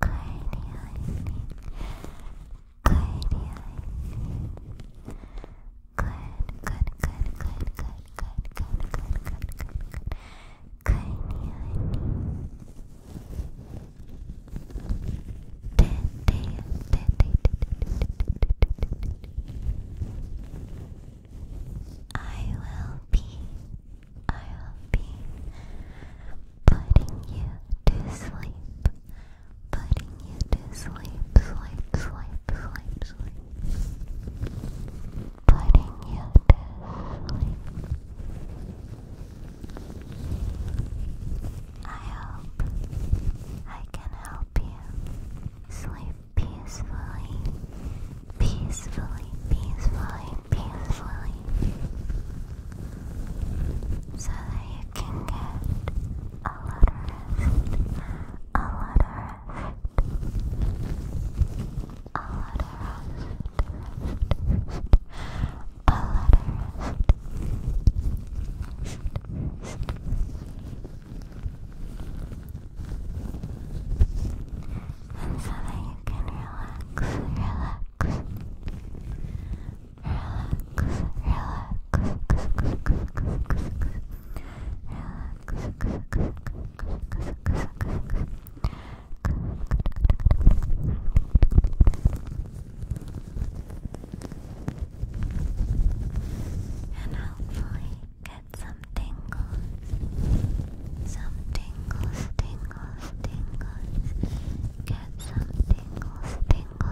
I will be, I will be putting you to sleep, putting you to sleep, sleep, sleep, sleep, sleep, putting you to sleep. I hope I can help you sleep peacefully, peacefully, peacefully, peacefully, so that you you can get a lot of rest, a lot of a lot a lot And so that you can relax, relax, and hopefully get some tingles, some tingles, tingles, tingles, get some tingles, tingles tingles,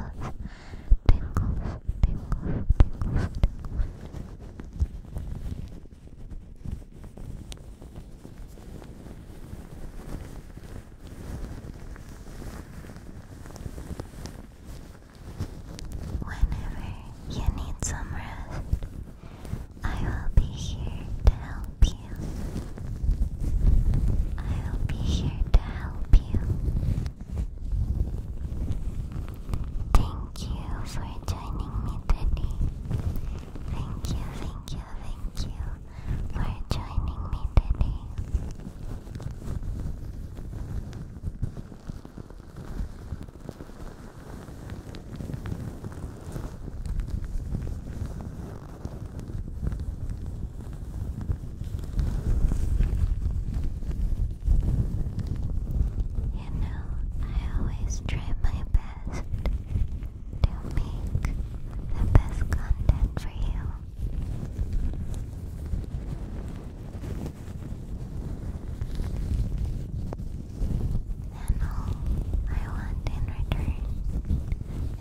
Whenever you need some rest, I will be here to help you. I'll be here to help you. Thank you for joining me today. Thank you, thank you, thank you for joining me today. You know, I always try my best to make the best content for you. And all I want in return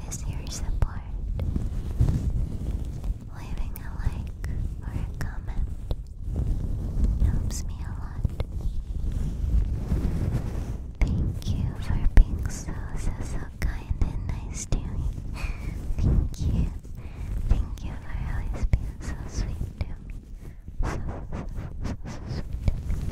is your support. Leaving a like or a comment helps me a lot. Thank you for being so, so, so kind and nice to me. Thank you. Thank you for always being so sweet to me. So, so, so, so, sweet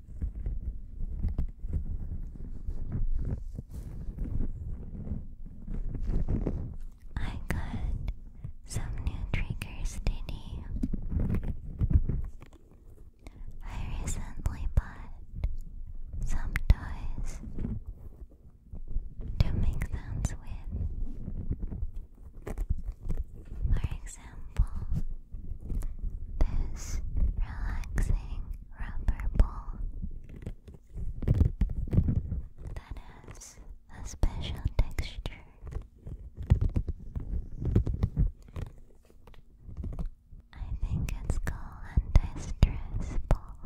I got some new triggers today. I recently bought some toys to make sounds with. For example, this relaxing rubber ball that has a special texture. I think it's called anti-stress ball.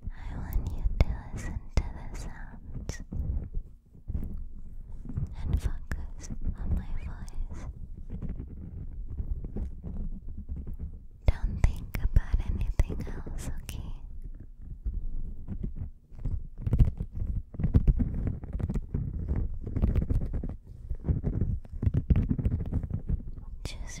I want you to listen to the sounds and focus on my voice. Don't think about anything else, okay? Just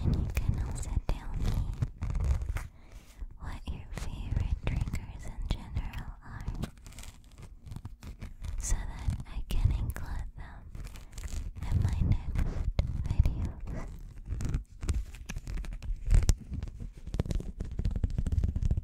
And you can also tell me what your favorite triggers in general are so that I can include them in my next video.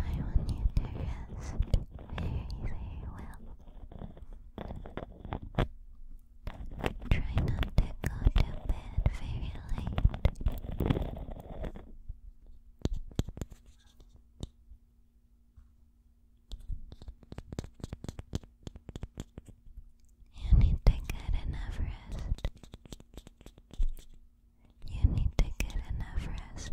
I want you to rest very, well. Try not to go to bed very late. You need to get enough rest. You need to get enough rest.